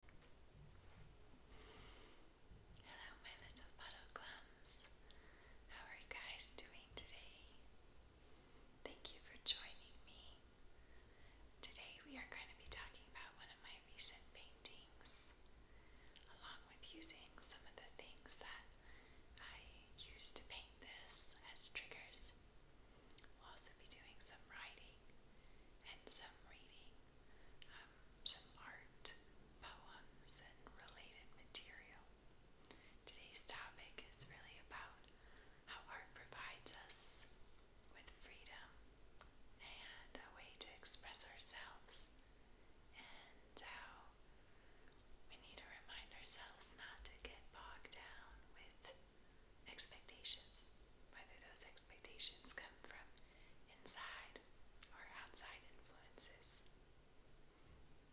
Hello, my little puddle clams. How are you guys doing today? Thank you for joining me. Today we are going to be talking about one of my recent paintings, along with using some of the things that I used to paint this as triggers. We'll also be doing some writing and some reading um, some art, poems, and related material. Today's topic is really about how art provides us with freedom and a way to express ourselves, and how we need to remind ourselves not to get bogged down with expectations, whether those expectations come from inside or outside influences.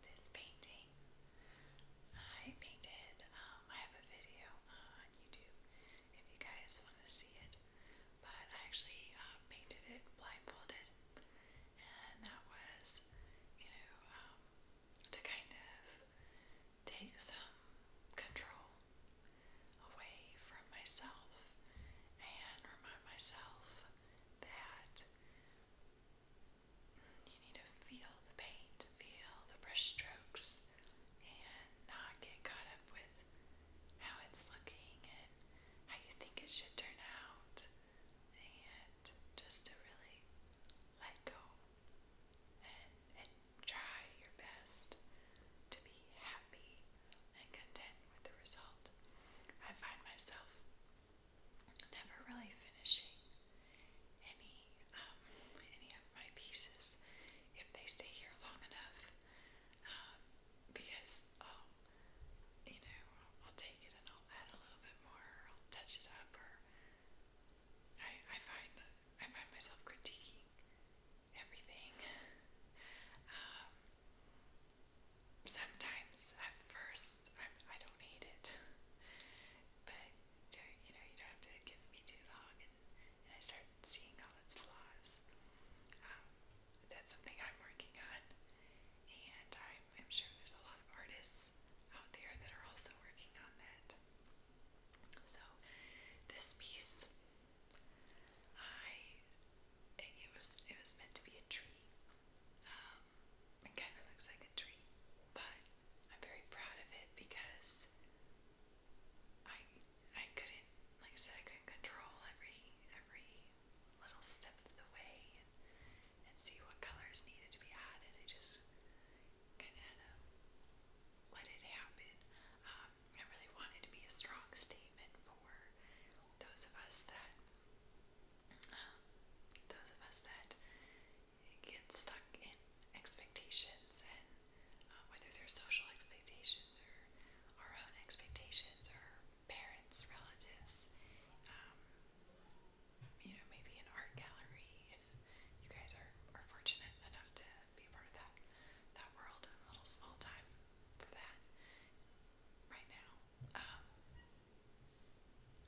This painting I painted, um, I have a video on YouTube if you guys want to see it, but I actually uh, painted it blindfolded, and that was, you know, um, to kind of take some control away from myself and remind myself that you need to feel the paint, feel the brush and not get caught up with how it's looking and how you think it should turn out, and just to really let go try your best to be happy and content with the result. I find myself never really finishing any um, any of my pieces if they stay here long enough. Um, because oh, you know, I'll take it and I'll add a little bit more, I'll touch it up, or I I find I find myself critiquing everything. Um, sometimes at first I, I don't hate it, but uh, you know you don't have to give me too long, and, I start seeing all its flaws. Um, that's something I'm working on, and I'm, I'm sure there's a lot of artists out there that are also working on that. So, this piece I it was it was meant to be a tree. Um, it kind of looks like a tree, but I'm very proud of it because I I couldn't like I said I couldn't control every every little step of the way and, see what colors needed to be added. I just kind of let it happen. Um, I really wanted to be a strong statement for those of us that um, those of us that get stuck in expectations and uh, whether they're social expectations or our own expectations or parents, relatives, um, you know, maybe an art gallery if you guys are, are fortunate enough to be a part of that that world. I'm a little small time for that right now. Um,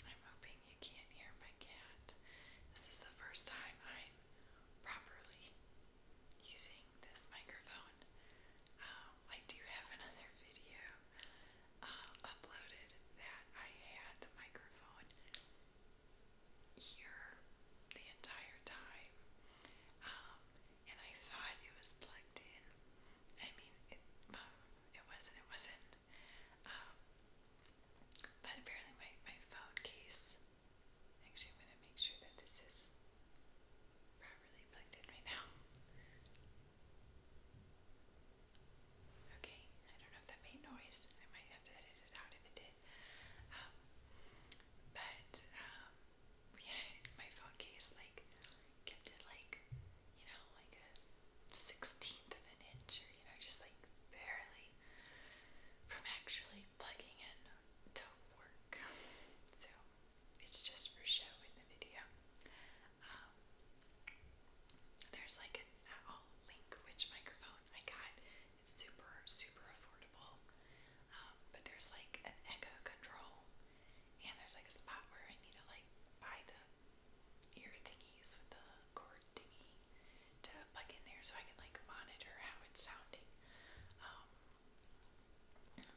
I'm hoping you can't hear my cat. This is the first time I'm properly using this microphone. Um, I do have another video uh, uploaded that I had the microphone here the entire time. Um, and I thought it was plugged in. I mean, it, wasn't, it wasn't. Um, but apparently my, my phone case, actually I'm going to make sure that this is properly plugged in right now. Okay, I don't know if that made noise. I might have to edit it out if it did. Um, but, um, my phone case, like, kept it like, you know, like a sixteenth of an inch, or you know, just like barely from actually plugging in to work. So it's just for show in the video. Um, there's like an at link which microphone I got it's super, super affordable. Um, but there's like an echo control, and there's like a spot where I need to like buy the ear thingies with the cord thingy to plug in there so I can like monitor how it's sounding. Um,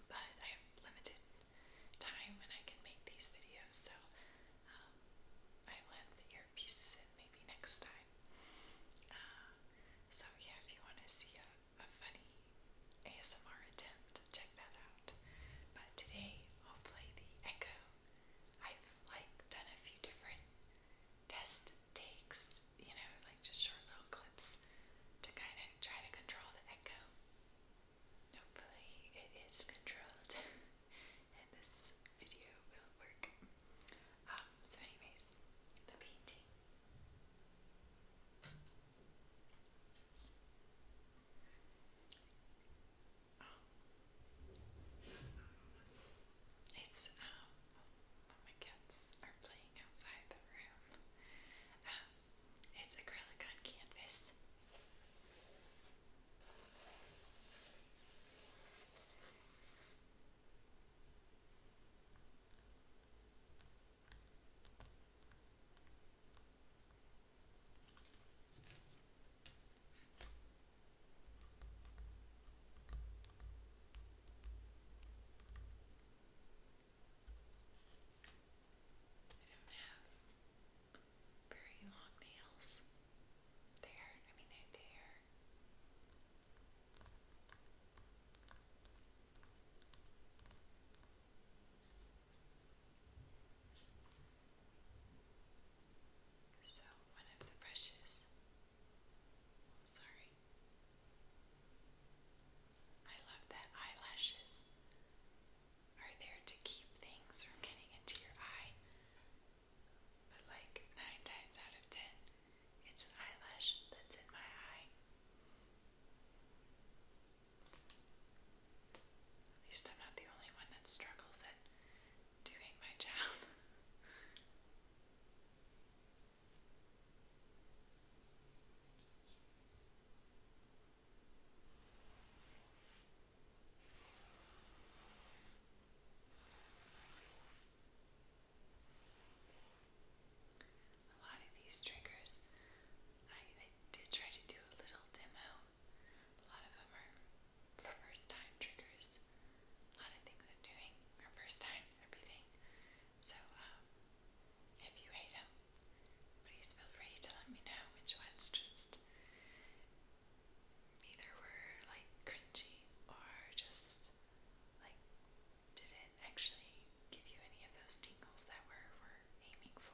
but I have limited time when I can make these videos, so um, I will have the earpieces in maybe next time. Uh, so yeah, if you want to see a a funny ASMR attempt. Check that out. But today I'll play the Echo. I've like done a few different test takes, you know, like just short little clips to kind of try to control the echo. Hopefully it is controlled and this video will work. Um, um, so anyways, the painting. Oh. It's, um, my kids are playing outside the room. Um, it's acrylic on canvas don't have very long nails. They're, I mean, they're there. So, one of the brushes. Oh, sorry. I love that eyelashes are there to keep things from getting into your eye. But, like, nine times out of ten, it's an eyelash that's in my eye. At least I'm not the only one that struggles at doing my job. A lot of these triggers, I, did try to do a little demo. A lot of them are first time triggers. A lot of things I'm doing are first time everything. So, um, if you hate them, please feel free to let me know which ones just either were like cringy or just like did it actually give you any of those tingles that we're, we're aiming for.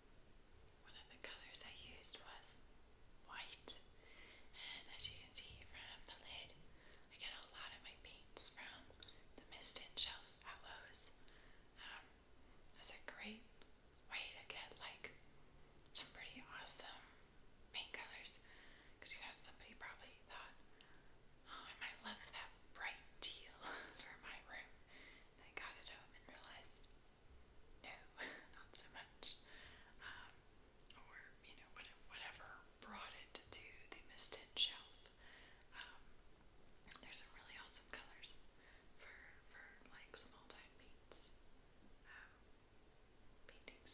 One of the colours I used was white, and as you can see from the lid, I get a lot of my paints from the Mist and Shelf at Lowe's. Um, that's a great way to get like some pretty awesome paint colors because you know somebody probably thought, oh, I might love that bright teal for my room. I got it home and realized, no, not so much. Um, or, you know, whatever brought it to the Mistend shelf. Um, there's some really awesome colors for, for like, small-time paints. Um, paintings.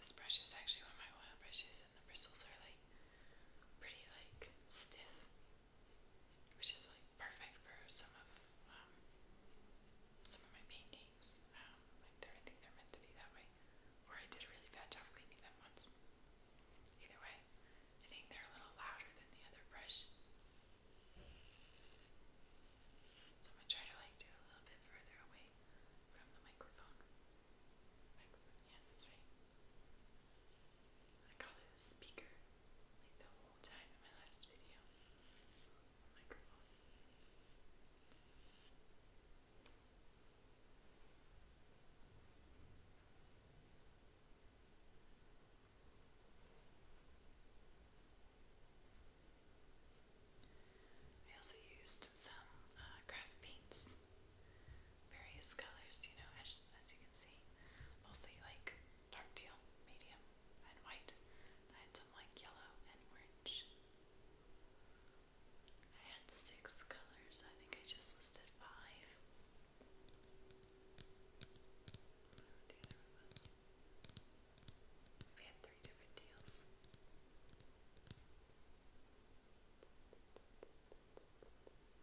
This brush is actually one of my oil brushes, and the bristles are like pretty, like stiff which is like perfect for some of um, some of my paintings. Um, like they're, I think they're meant to be that way. Or I did a really bad job cleaning them once. Either way, I think they're a little louder than the other brush. So i try to like do a little bit further away from the Microphone, yeah, that's right. I call it a speaker like the whole time in my last video. microphone. I also used some uh, paints various colors, you know, as, as you can see. Mostly like dark teal, medium, and white. I had some like yellow and orange. I had six colors. I think I just listed five. What the other one was. We had three different deals. I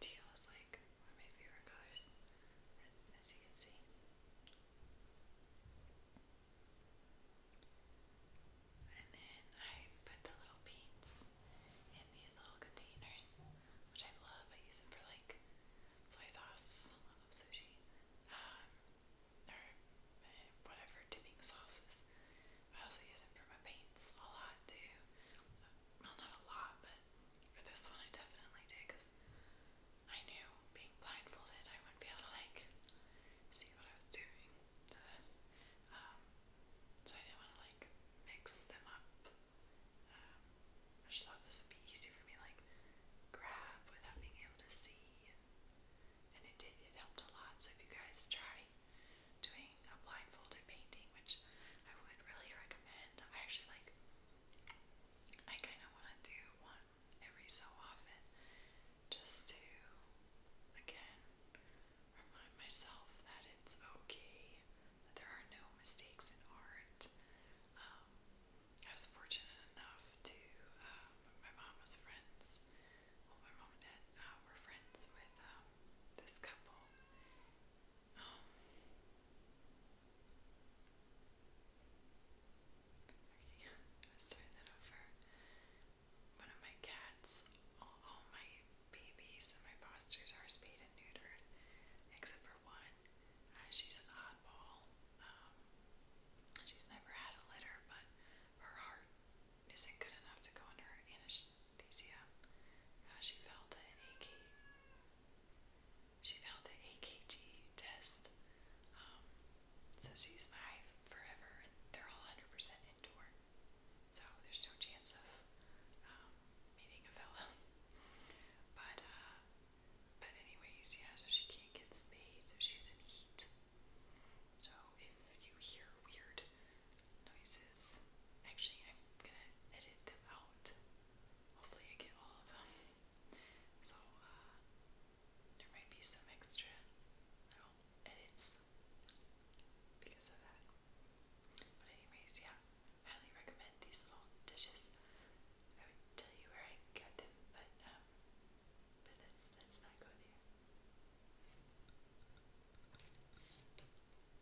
Teal is like one of my favorite colors, as, as you can see. And then I put the little paints in these little containers, which I love. I use them for like soy sauce, I love sushi, um, or uh, whatever dipping sauces. But I also use them for my paints a lot too. Well, not a lot, but for this one, I definitely did because I knew being blindfolded, I wouldn't be able to like see what I was doing. Um, so I didn't want to like mix them up. Um, I just thought this would be easy for me, like grab without being able to see, and it did. It helped a lot. So if you guys try doing a blindfolded painting, which I would really recommend. I actually like, I kind of want to do one every so often just to, again, remind myself that it's okay, that there are no mistakes in art. Um, I was fortunate enough to, um, my mom was friends, well, my mom and dad uh, were friends with um, this couple. One of my cats, all, my babies and my postures are spayed and neutered, except for one. Uh, she's an oddball. Um, she's never had a litter, but her heart isn't good enough to go under anesthesia. Uh, she felt an achy she failed the AKG test. Um, so she's my forever. They're all 100% indoor. So there's no chance of um, meeting a fellow. But, uh, but anyways, yeah, so she can't get spayed, so she's in heat. So if you hear weird noises, actually, I'm gonna edit them out. Hopefully I get all of them. So, uh, there might be some extra little edits because of that. But anyways, yeah, highly recommend these little dishes. I would tell you where I got them, but um, but let's let's not go there.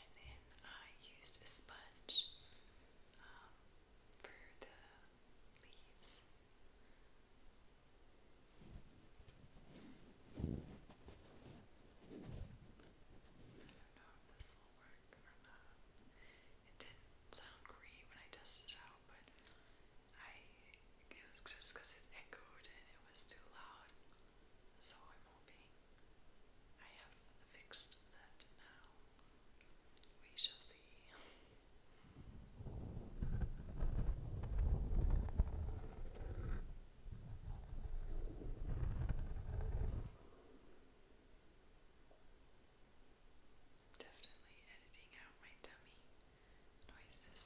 And then I used a sponge um, for the leaves. It didn't sound great when I tested out, but I it was just because it echoed and it was too loud. So I'm hoping I have fixed that now. We shall see. Definitely editing out my tummy noises.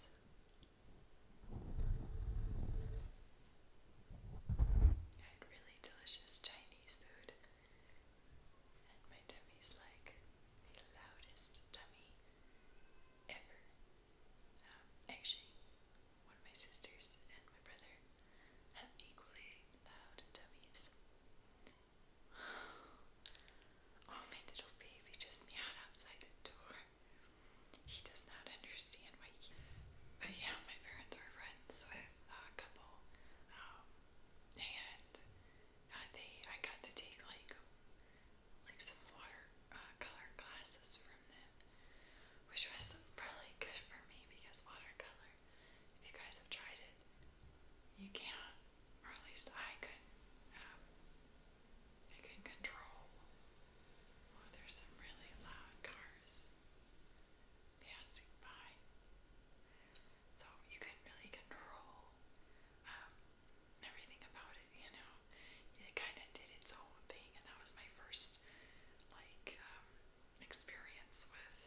I had really delicious Chinese food, and my tummy's like the loudest tummy ever actually, one of my sisters and my brother have equally loud tummies. Oh, my little baby just meowed outside the door. He does not understand why he. But yeah, my parents are friends with a couple. Um, and uh, they, I got to take like, like some water uh, color glasses from them, which was really good for me because watercolor, if you guys have tried it, you can't, or at least I couldn't, um, I could control. Oh, there's some really loud cars passing by. So you could really control um, everything about it, you know. It kind of did its own thing, and that was my first like um, experience with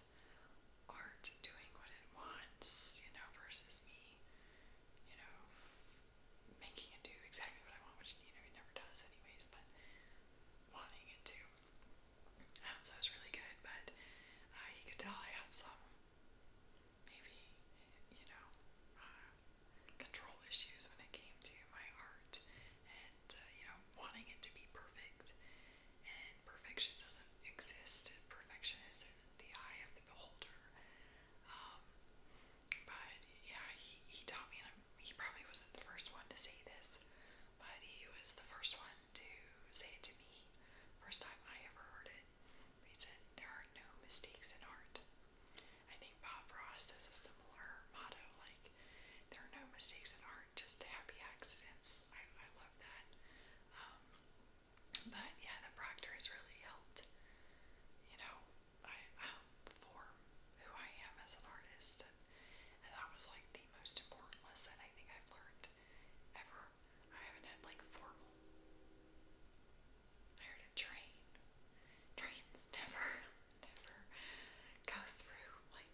art doing what it wants, you know, versus me, you know, making it do exactly what I want, which you know it never does anyways, but wanting it to. Um, so it was really good, but uh, you could tell I had some maybe you know uh, control issues when it came to my art and uh, you know wanting it to be perfect. And perfection doesn't exist. Perfection is in the eye of the beholder. Um, but yeah, he, he taught me, and I'm, he probably wasn't the first one to say this, but he was the first one to say it to me. First time I ever heard it. He said, There are no mistakes in art. I think Bob Ross has a similar motto, like there are no mistakes in art, just happy accidents. I, I love that. Um, but yeah, the proctor has really helped, you know, I um, form who I am as an artist, and that was like the most important lesson I think I've learned ever. I haven't had like formal. I heard a train. Trains never. never go through. Like,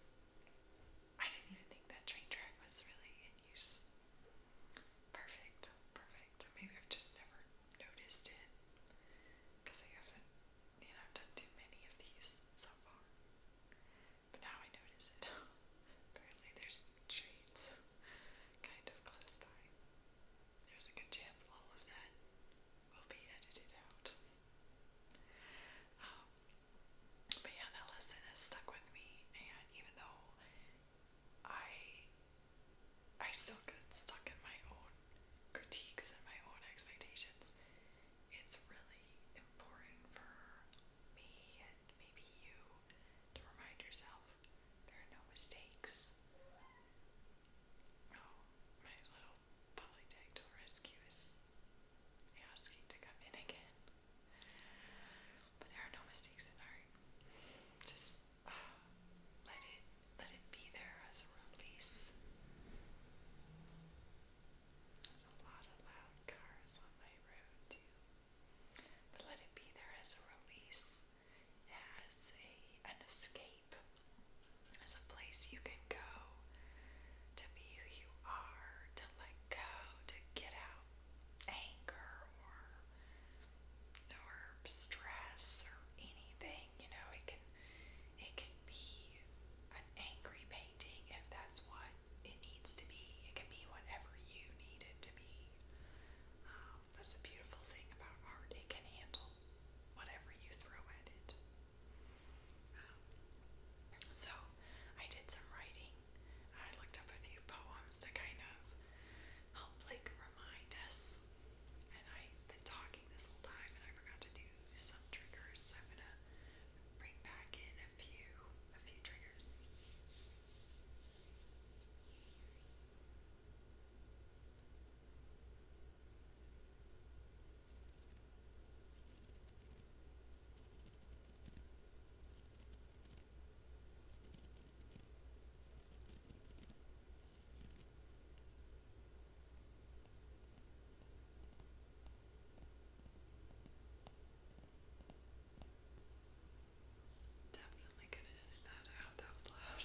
I didn't even think that train track was really in use. Perfect, perfect. Maybe I've just never noticed it because I haven't, you know, done too many of these so far. But now I notice it. Apparently, there's treats kind of close by. There's a good chance all of that will be edited out. Um, but yeah, that lesson has stuck with me, and even though I I still get stuck in my own critiques and my own expectations, it's really important for me and maybe you to remind yourself there are no mistakes. Oh, Polydactyl Rescue asking to come in again. But there are no mistakes in art. Just uh, let it let it be there as a release. There's a lot of loud cars on my road too. But let it be there as a release, as a an escape. Cape a place you can go to be who you are, to let go, to get out anger or or stress or anything. You know, it can it can be an angry painting if that's what it needs to be. It can be whatever you need it to be. Um, that's the beautiful thing about art. It can handle whatever you throw at it so I did some writing. I looked up a few poems to kind of help like remind us. And I've been talking this whole time and I forgot to do some triggers. So I'm gonna bring back in a few a few triggers. Definitely gonna edit that out. That was loud.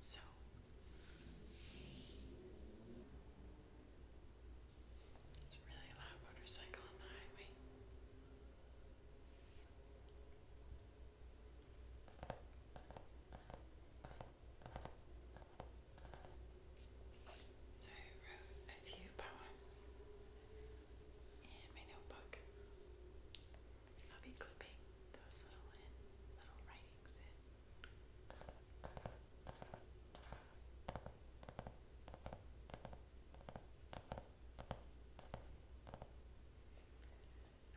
So it's a really loud motorcycle on the highway. So I wrote a few poems in my notebook. I'll be clipping those little little writings I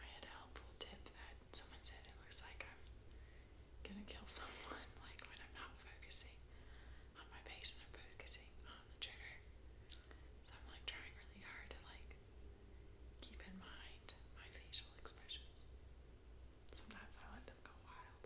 had a helpful tip that someone said it looks like I'm gonna kill someone like when I'm not focusing on my face and I'm focusing on the trigger. So I'm like trying really hard to like keep in mind my facial expressions. Sometimes I let them go wild.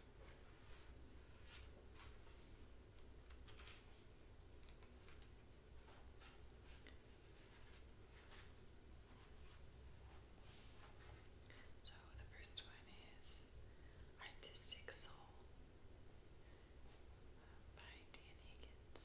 So the first one is Artistic Soul by Dan Higgins.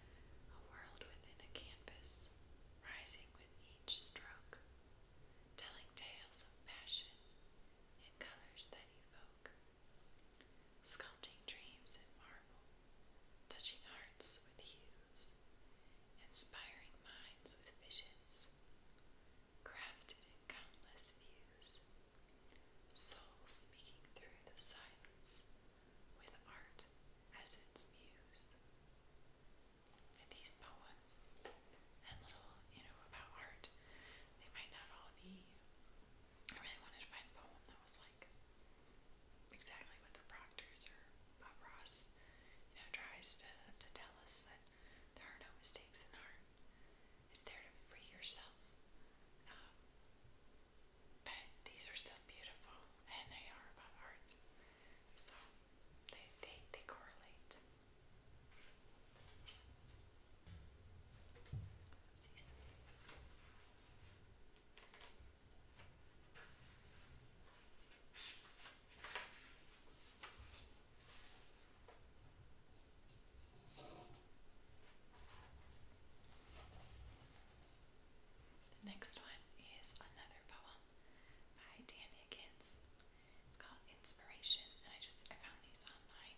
a world within a canvas, rising with each stroke, telling tales of passion in colors that evoke, sculpting dreams in marble, touching hearts with hues, inspiring minds with visions, crafted in countless views, souls speaking through the silence with art as its muse. And these poems and little, you know, about art, they might not all be. I really wanted to find a poem that was like exactly what the Proctors or Bob Ross, you know, tries to, to tell us that there are no mistakes in art. It's there to free yourself um, but these are so beautiful and they are about art. So they they, they correlate. The next one is another poem by Dan Higgins. It's called Inspiration, and I just I found these online.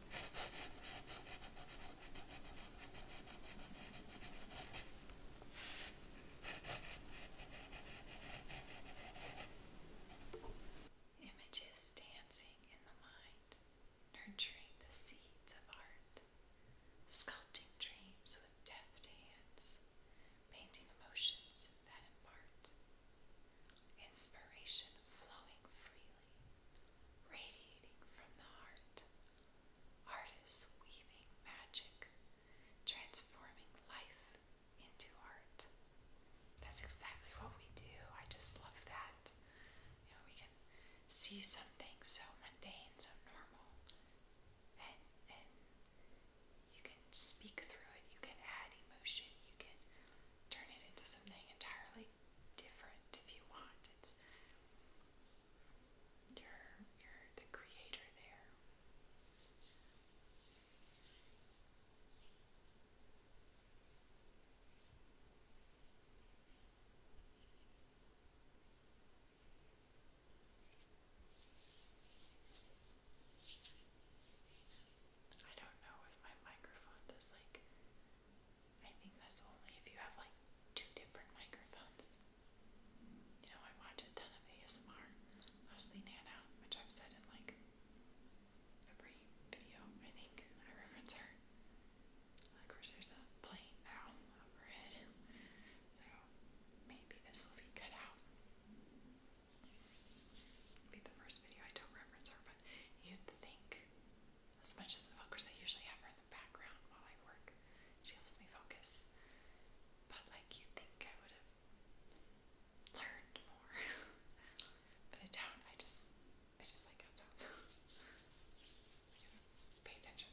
Images dancing in the mind, nurturing the seeds of art, sculpting dreams with deft hands, painting emotions that impart, inspiration flowing freely, radiating from the heart, artists weaving magic, transforming life into art. That's exactly what we do. I just love that. You know, we can see something so mundane, so normal, and and you can speak through it, you can add emotion, you can turn it into something entirely different if you want. It's you're you're the creator there. I don't know if my microphone does like I think that's only if you have like two different microphones. You know, I watch a ton of ASMR, mostly Nana, which I've said in like every video, I think I reference her. Of course, there's a plane now overhead, so maybe this will be cut out. be the first video I don't reference her, but you'd think, as much as, of course, I usually have background while I work. She helps me focus. But like you think I would have learned more. but I don't. I just I just like how Pay attention.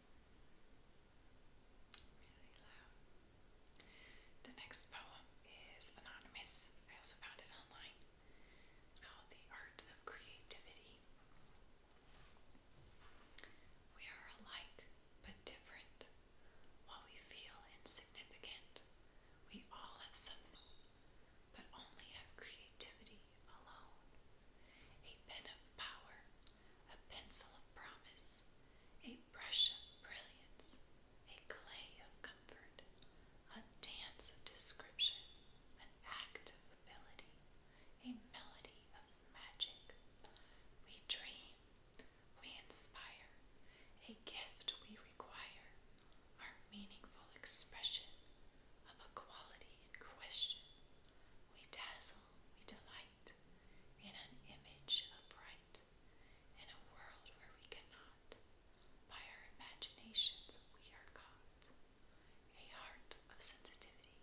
Really loud. The next poem is anonymous. I also found it online. It's called The Art of Creativity. We are alike but different. While we feel insignificant, we all have something, but only have creativity alone. A pen of power a pencil of promise, a brush of brilliance, a clay of comfort, a dance of description, an act of ability, a melody of magic. We dream, we inspire, a gift we require, our meaningful expression of a quality in question. We dazzle, we delight light, in an image of bright, in a world where we cannot. By our imaginations we are caught. A heart of sensitivity,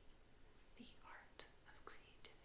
the art of creativity.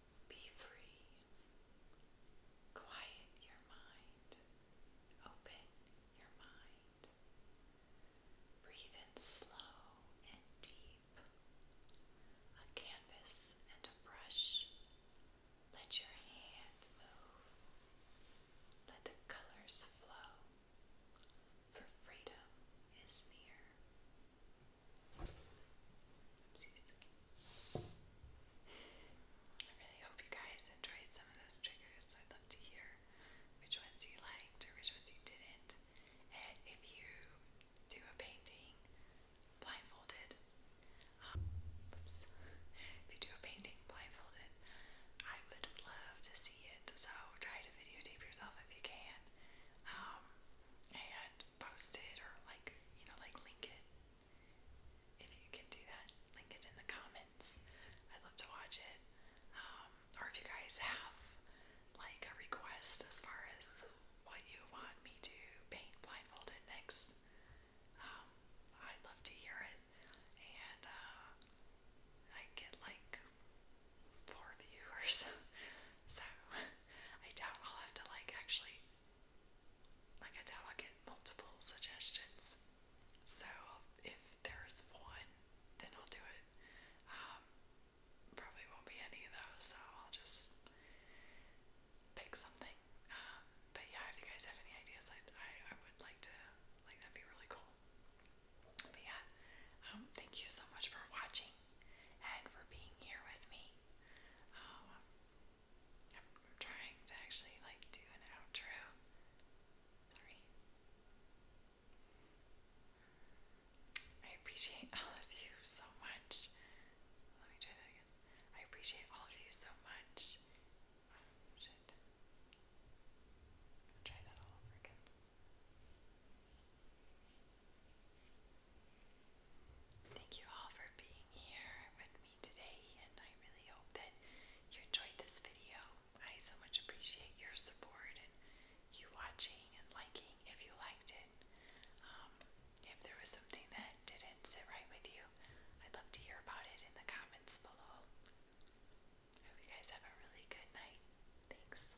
Be free. Quiet your mind. Open your mind. Breathe in slow and deep. A canvas and a brush. Let your hand move. Let the colors flow. For freedom is near. I really hope you guys enjoyed some of those triggers. I'd love to hear which ones you liked or which ones you didn't. And if you do a painting blindfolded, um, if you do a painting blindfolded, I would love to see it. So try to videotape yourself if you can. Um, and post it or like, you know, like link it. If you can do that, link it in the comments. I'd love to watch it. Um, or if you guys have like a request as far as what you want me to paint blindfolded next, um, I'd love to hear it. And uh, I get like four viewers so I doubt I'll have to like actually like I doubt I'll get multiple suggestions. So if there's one, then I'll do it. Um, probably won't be any though, so I'll just pick something. Um, but yeah, if you guys have any ideas, i I I would like to like that'd be really cool. But yeah, um, thank you so much for watching and for being here with me. Um, I'm, trying to actually like do an outro. Sorry. I appreciate all of you so much. Let me try that again. I appreciate all of you so much. Oh, shit. try that all over again. Thank you all for being here with me today, and I really hope that you enjoyed this video. I so much appreciate your support and you watching and liking if you liked it. Um, if there was something that didn't sit right with you, I'd love to hear about it in the comments below. hope you guys have a really good night. Thanks.